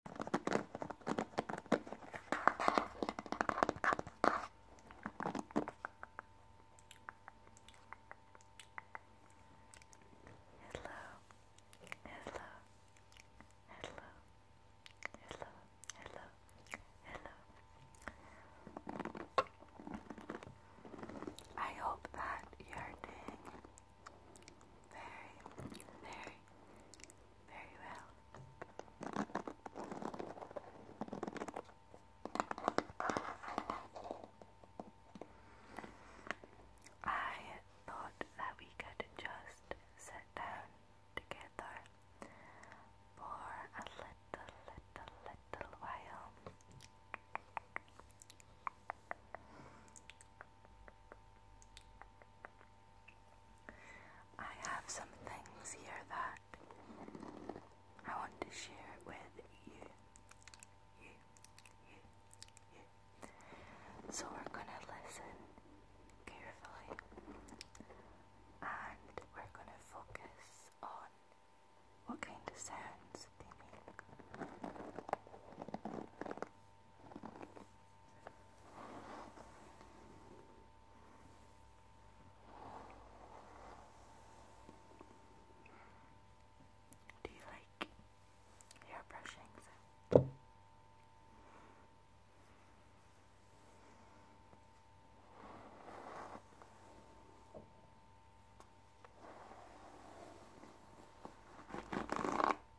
hello, hello, hello, hello, hello. I hope that you're doing very, very, very well. I thought that we could just sit down together for a little, little, little while. I have some things here that I want to share with you. You, you, you. So we're gonna listen carefully and we're gonna focus on what kind of sounds they make. Do you like hair brushing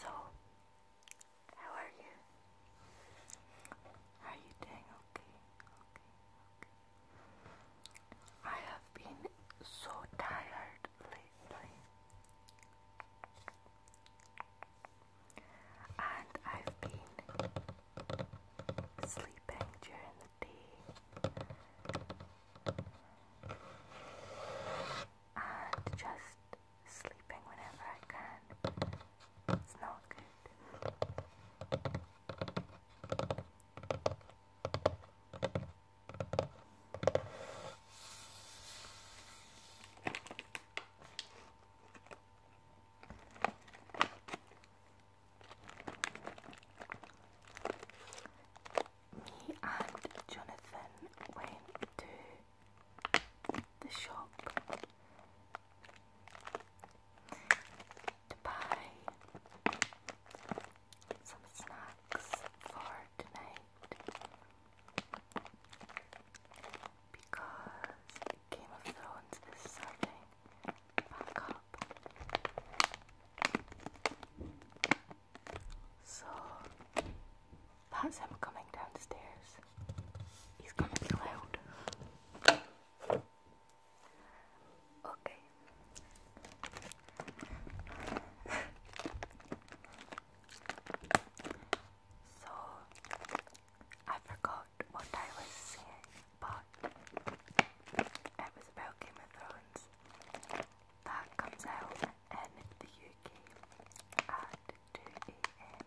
So, how are you? Are you doing okay? Okay, okay. I have been so tired lately, and I've been sleeping during the day and just sleeping whenever I can. It's not good. Me and Jonathan went to the shop to buy some snacks for tonight because Game of Thrones is starting so that's him coming downstairs. He's gonna be loud. Okay. so I forgot what I was saying, but it was about Game of Thrones. That comes out in the UK at 2 am.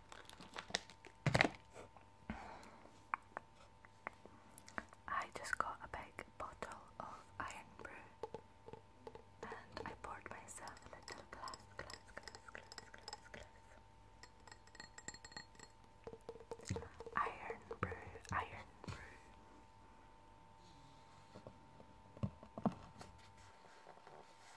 I just got a big bottle of iron brew and I poured myself a little glass, glass, glass, glass, glass, glass. Iron brew, iron brew.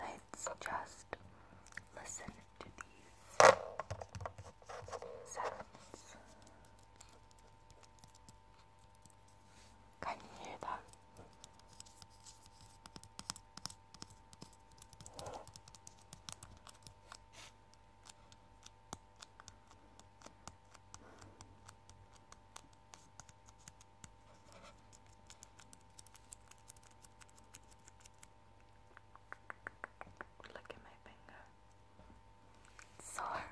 Let's just listen to these sounds. Can you hear that? Look at my finger sore.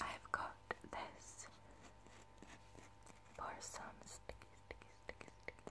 I've got this for some sticky,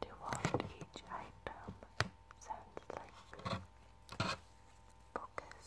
to what each item sounds like. Focus.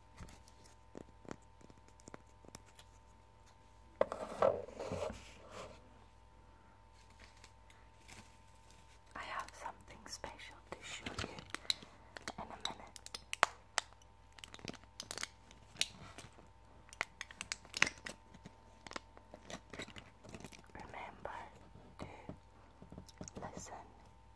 I have something special to show you in a minute. Remember to listen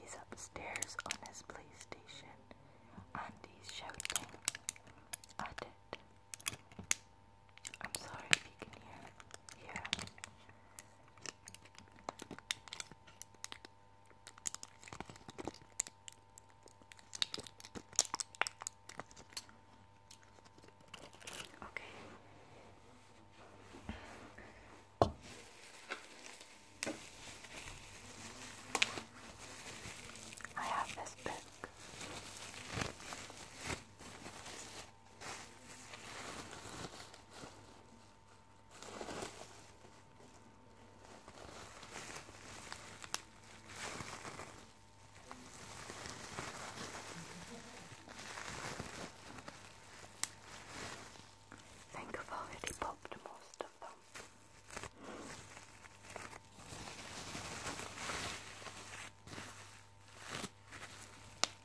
He's upstairs on his PlayStation and he's shouting at it. I'm sorry if you can hear. Yeah. Okay. I have this book. I think I've already popped most of them.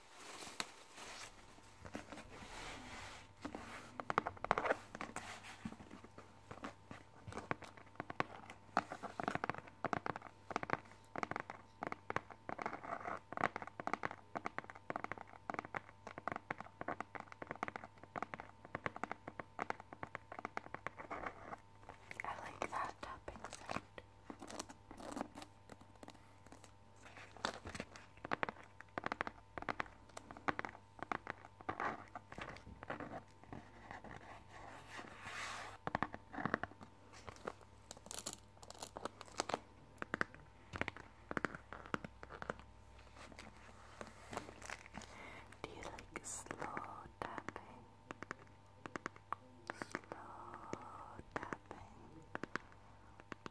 I like that tapping do you like slow tapping? Slow tapping.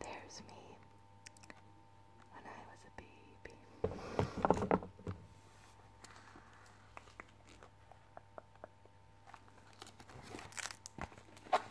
There's me when I was a baby.